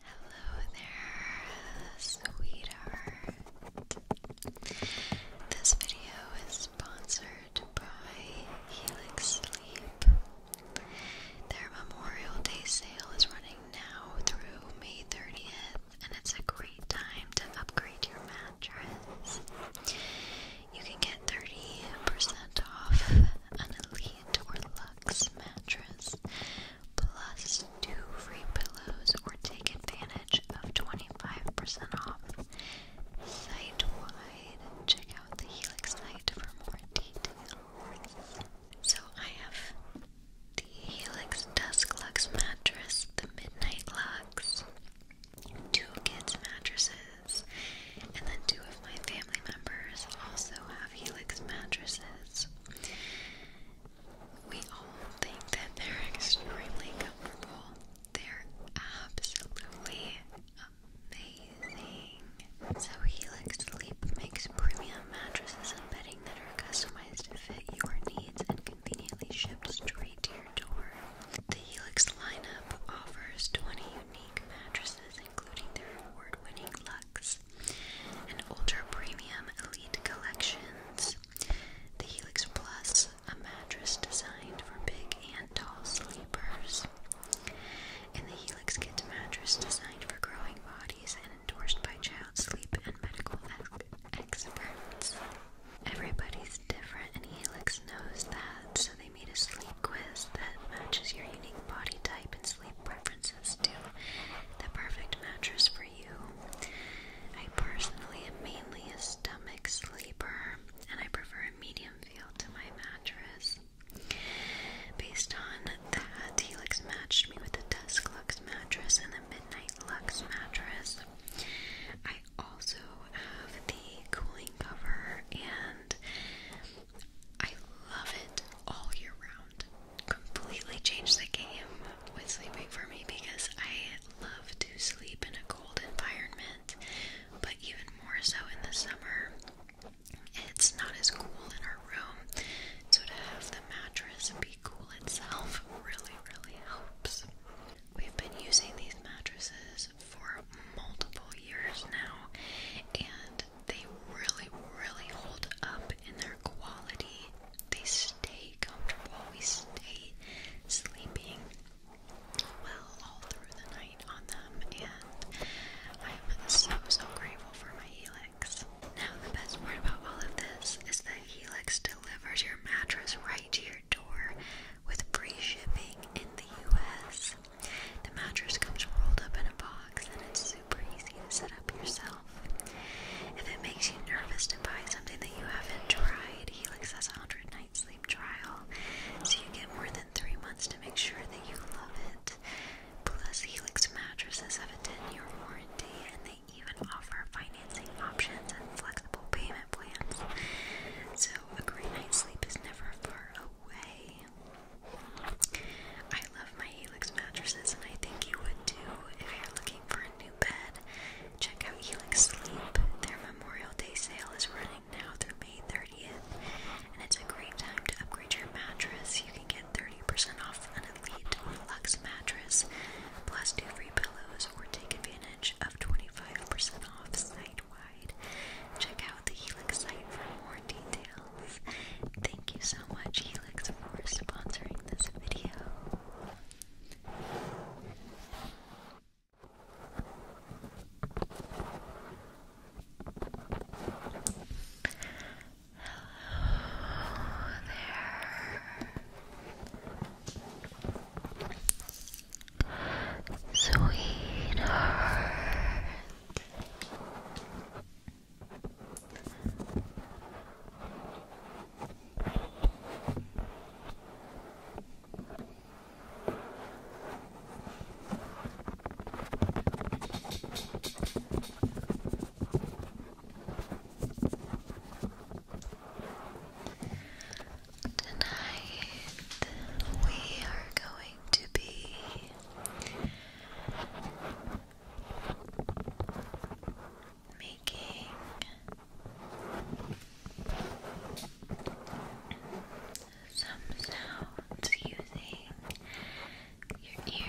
Hello there, sweetheart. This video is sponsored by Helix Sleep. Their Memorial Day sale is running now through May 30th, and it's a great time to upgrade your mattress. You can get 30% off an elite or Luxe mattress, plus two free pillows, or take advantage of 25% off. Site wide, check out the Helix site for more details. So I have the Helix Dusk Luxe mattress, the Midnight Lux, two kids' mattresses, and then two of my favorite family members also have Helix mattresses. We all think that they're extremely comfortable. They're absolutely amazing. So Helix Sleep makes premium mattresses and bedding that are customized to fit your needs and conveniently shipped straight to your door. The Helix lineup offers 20 unique mattresses including their award-winning Lux and Ultra Premium Elite collections, the Helix Plus, a mattress designed for big and tall sleepers, and the Helix Kids mattress designed for growing bodies and endorsed by child sleep and medical experts. Everybody's different, and Helix knows that, so they made a sleep quiz that matches your unique body type and sleep preferences to the perfect mattress for you. I personally am mainly a stomach sleeper, and I prefer a medium feel to my mattress. Based on that, Helix matched me with the Desk Lux mattress and the Midnight Lux mattress. I also have the cooling cover, and I love it all year round completely changed the game with sleeping for me because I love to sleep in a cold environment, but even more so in the summer. It's not as cool in our room, so to have the mattress be cool itself really, really helps. We've been using these mattresses for multiple years now, and they really, really hold up in their quality. They stay comfortable. We stay sleeping well all through the night on them, and I'm so, so grateful for my Helix. Now, the best part about all of this is that Helix delivers your mattress right to your door with free shipping in the US. The mattress comes rolled up in a box and it's super easy to set up yourself. If it makes you nervous to buy something that you haven't tried, Helix has a 100 night sleep trial, so you get more than 3 months to make sure that you love it. Plus, Helix mattresses have a 10 year warranty and they even offer financing options and flexible payment plans. So, a great night's sleep is never far away. I love my Helix mattresses, and I think you would too. If you're looking for a new bed, check out Helix Sleep. Their Memorial Day sale is running now through May 30th, and it's a great time to upgrade your mattress. You can get 30% off an Elite or Lux mattress, plus two free pillows, or take advantage of 25% off site wide. Check out the Helix site for more details. Thank you so much, Helix, for sponsoring this video. Hello there, sweetheart. Tonight we are going to be making some sounds using your ears.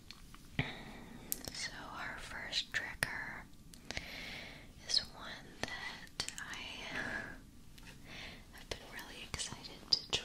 So, our first tricker is one that I have been really excited to try.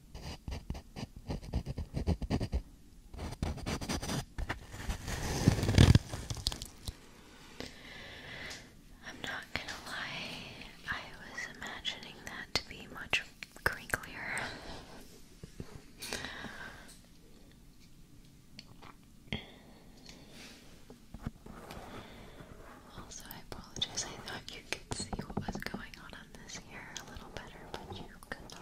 I'm not gonna lie, I was imagining that to be much crinklier. Also, I apologize. I thought you could see what was going on this ear a little better, but you could not.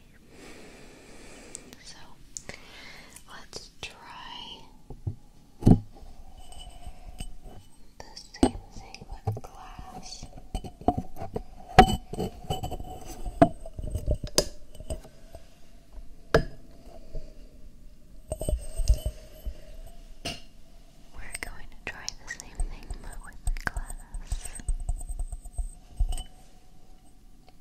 So let's try the same thing with glass. We're going to try the same thing but with glass.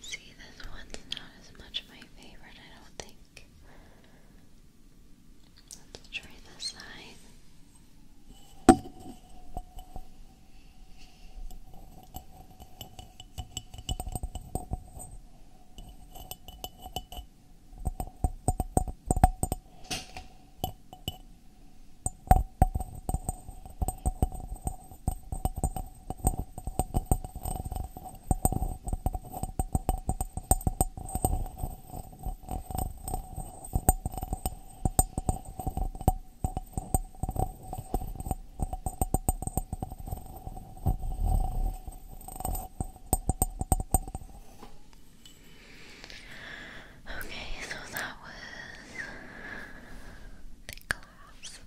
See, this one's not as much my favorite, I don't think. Let's try this side. Okay, so that was the glass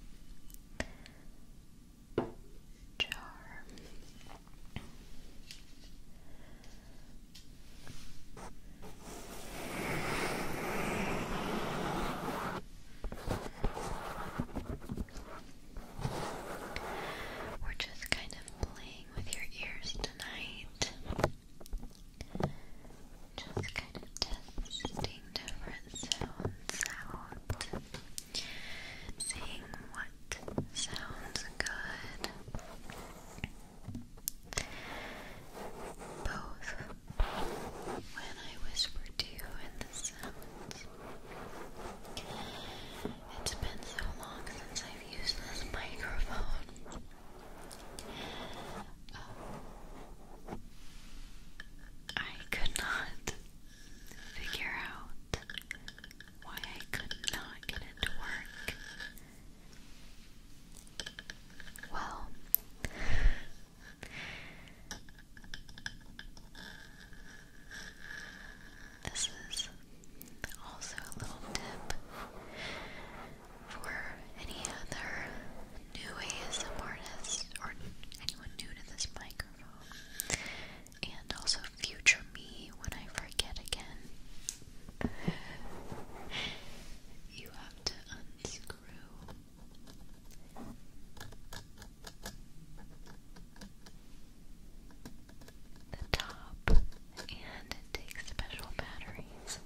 jar. We're just kind of playing with your ears tonight. Just kind of testing different sounds out seeing what sounds good. Both when I whisper to you and the sounds. It's been so long since I've used this microphone. I could not figure out why I could not get it work. Well, this is also a little tip for any other new ASM artists or anyone new to this microphone, and also future me when I forget again. you have to unscrew. The top and it takes special batteries.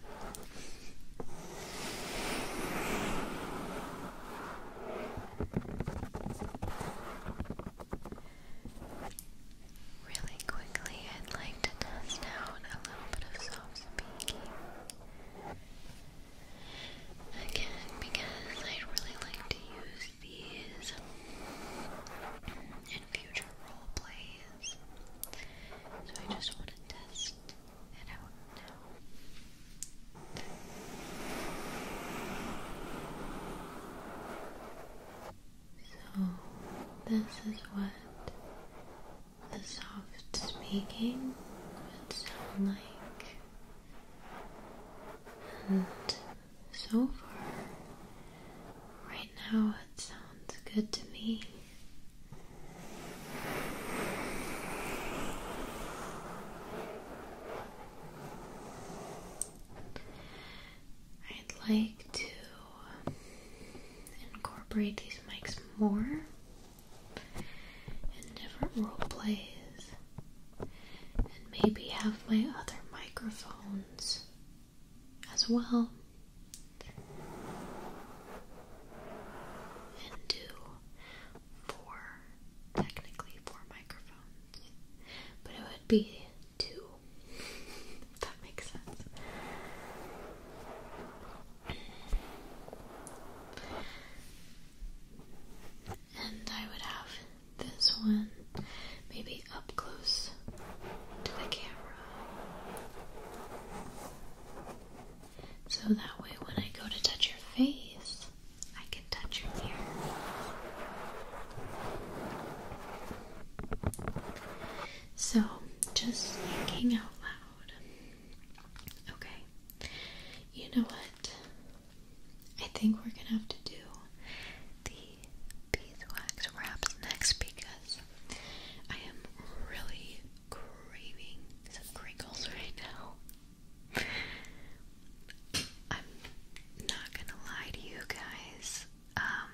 Really quickly, I'd like to test out a little bit of soft speaking. Again, because I'd really like to use these in future role plays. So I just want to test so, this is what the soft speaking would sound like. And so far, right now it sounds good to me. I'd like to incorporate these mics more in different role plays and maybe have my other microphones as well and do four, technically four microphones, but it would be two. that makes sense. And I would have this one maybe up close to the camera. So that way, when I go to touch your face, I can touch your ear. So, just thinking out loud. Okay. You know what? I think we're gonna have to do the beeswax wraps next because I am really craving some crinkles right now. I'm not gonna lie to you guys. Um,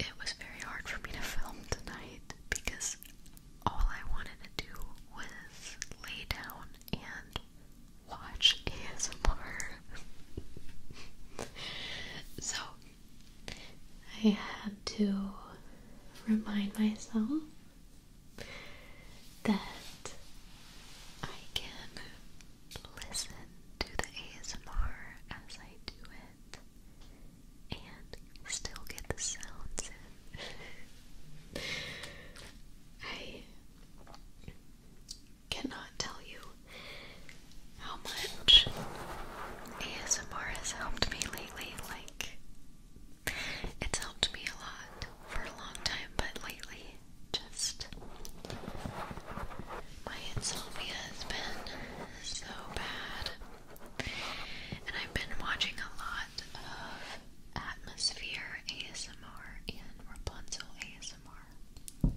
it was very hard for me to film tonight because all I wanted to do was lay down and watch ASMR. so I had to remind myself that I can listen to the ASMR as I do it and still get the sounds in. I cannot tell you how much ASMR has helped me lately. Like, it's helped me a lot for a long time, but lately, just my insomnia has been so bad. And I've been watching a lot of Atmosphere ASMR and Rapunzel ASMR.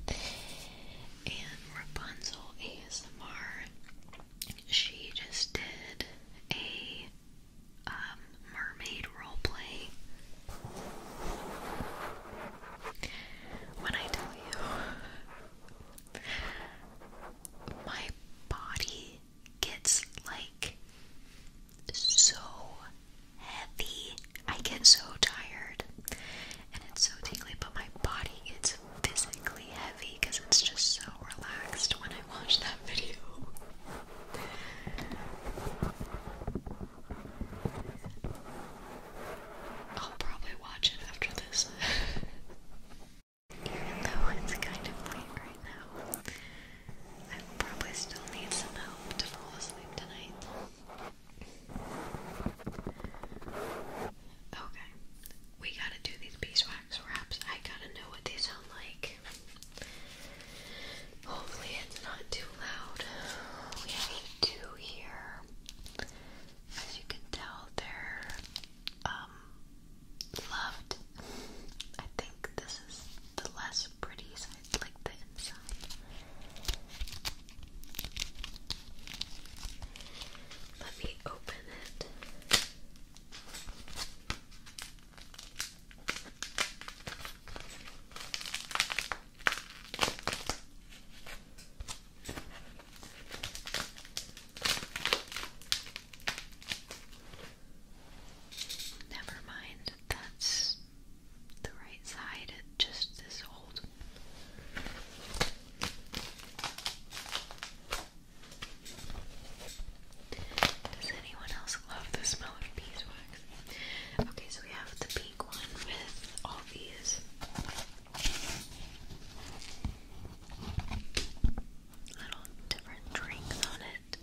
And Rapunzel ASMR, she just did a um, mermaid roleplay. When I tell you, my body gets like so heavy. I get so tired and it's so tingly, but my body gets physically heavy because it's just so relaxed when I watched that video. I'll probably watch it after this. Even though it's kind of late right now, I probably still need some help to fall asleep tonight. Okay, we gotta do these beeswax wraps. I gotta know what they sound like. Hopefully, it's not too loud. We have two here. As you can tell, they're um, loved. I think this is the less pretty side, like the inside. Let me open it. Never mind, that's the right side, just this old. Does anyone else love the smell of beeswax? Okay, so we have the pink one with all these. Little different drinks on it.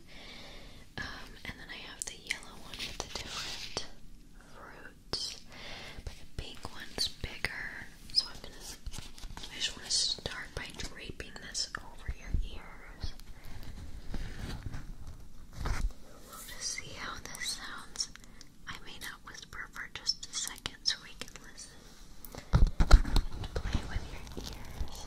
Um, and then I have the yellow one with the different fruits. But the pink one's bigger. So I'm gonna I just wanna start by draping this over your ear ears. To see how this sounds, I may not whisper for just a second so we can listen play with your ears.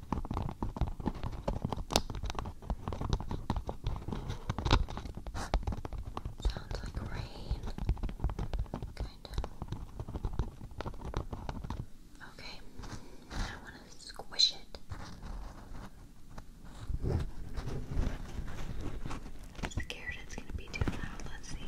Sounds like rain. Kinda. Okay. I wanna squish it. scared it's gonna be too loud. Let's see.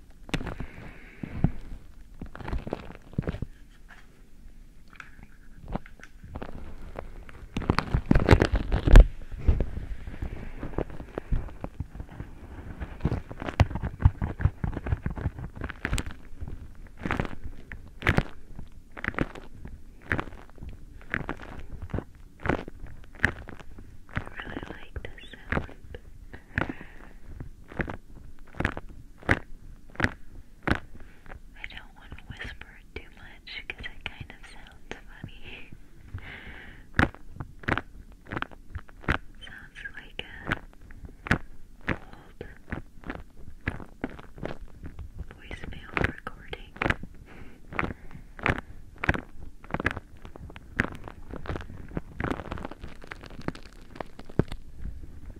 I really like this sound. I don't want to whisper too much because it kind of sounds funny. sounds like a old voicemail recording.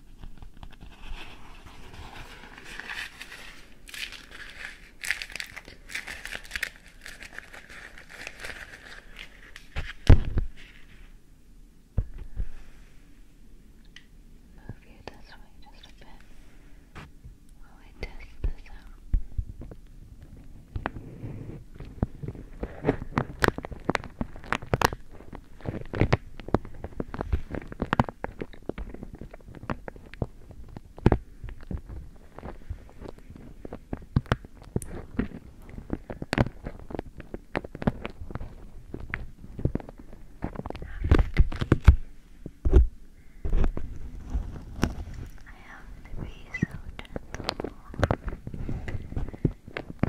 Move you this way just a bit while I test this out. Okay. I have to be so gentle.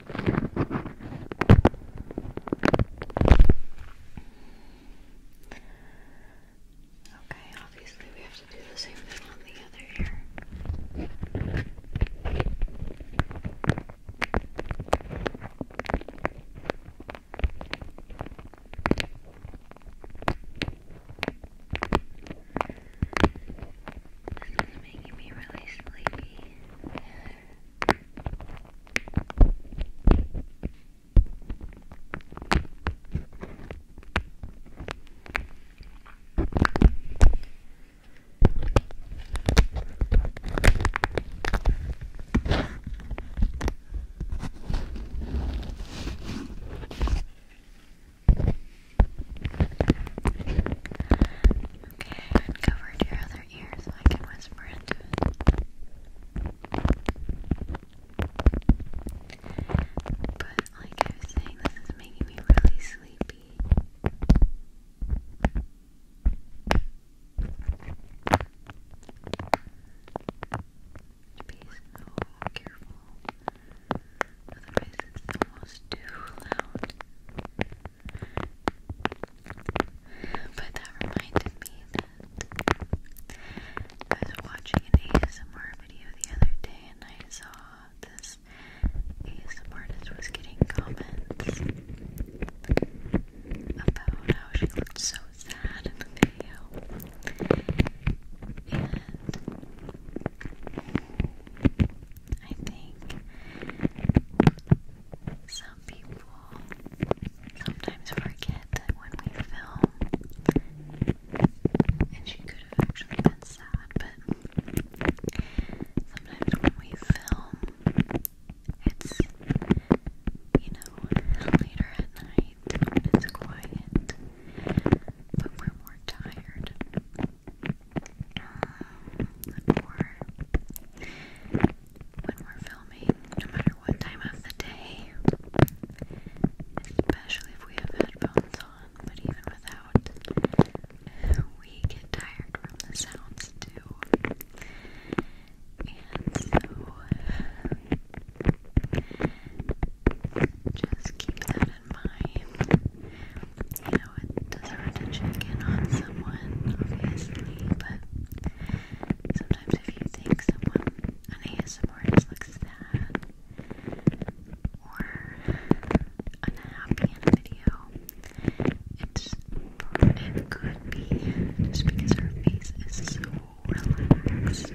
Okay, obviously we have to do the same thing on the other ear. This is making me really sleepy. Okay, uncovered your other your ear so I can whisper into it. But like I was saying, this is making me really sleepy. Be so careful. Otherwise it's almost too loud. But that reminded me that I was watching an ASMR video the other day and I saw this ASMR artist was getting comments about how she looked so sad in the video. And I think sometimes forget that when we film, and she could have actually been sad, but sometimes when we film, it's, you know, later at night when it's quiet, but we're more tired. Um, when we're filming, no matter what time of the day, especially if we have headphones on, but even without, we get tired from the sounds too. And so, just keep that in mind. You know, it does hurt to check in on someone, obviously, but Sometimes if you think someone an ASMRist looks sad or unhappy in video, it's it could be just because her face is so relaxed.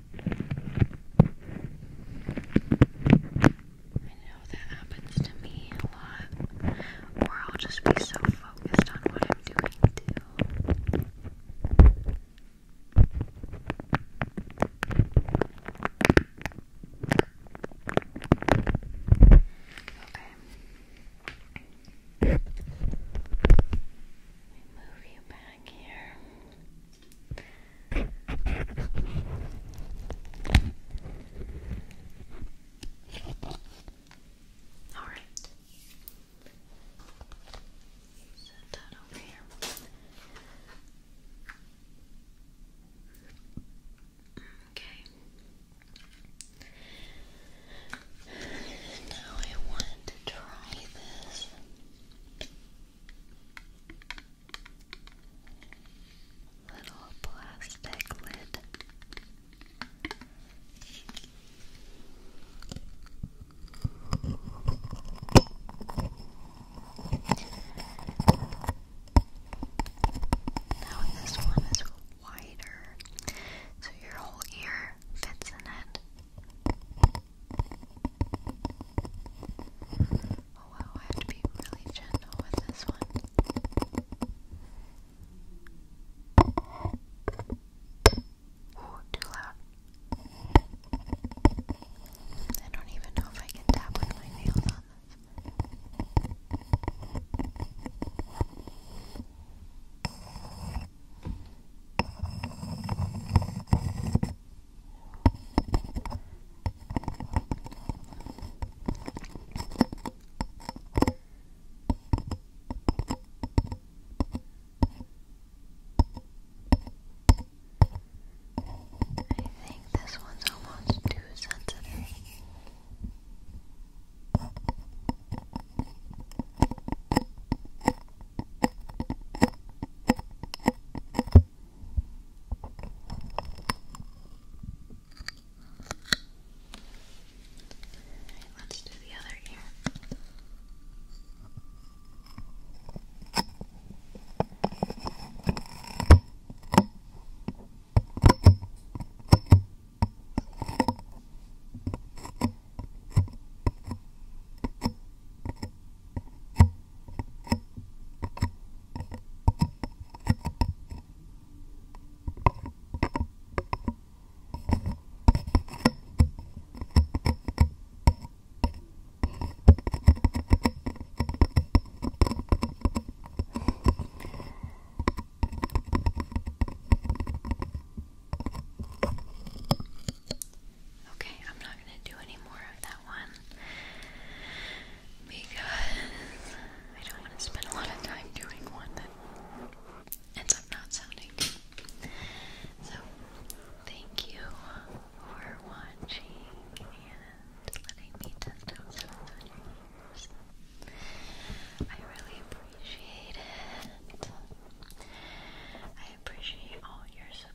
I know that happens to me a lot, or I'll just be so focused on what I'm doing Okay. Let me move you back here. All right. Set that over here. Okay. Now I want to try this Little plastic lid. Now this one is wider, so your whole ear fits in it. Oh wow, I have to be really gentle with this one. too loud. I don't even know if I can tap with my nails on this. I think this one's almost too sensitive. Alright, let's do the other ear. Okay. Okay, I'm not going to do any more of that one because I don't want to spend a lot of time doing one that ends up not sounding good. So, thank you for watching and letting me test out some of your ears. I really appreciate it. I appreciate all your support.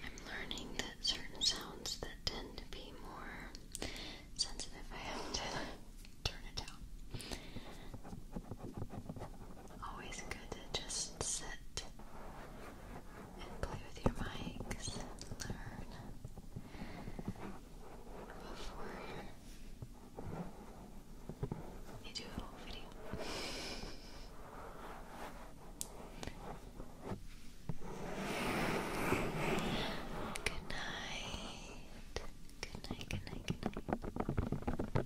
I'm learning that certain sounds that tend to be more sensitive, I have to turn it down. Always good to just sit and play with your mics, learn before you do a whole video. Good night. Good night, good night, good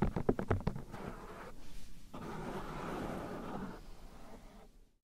night.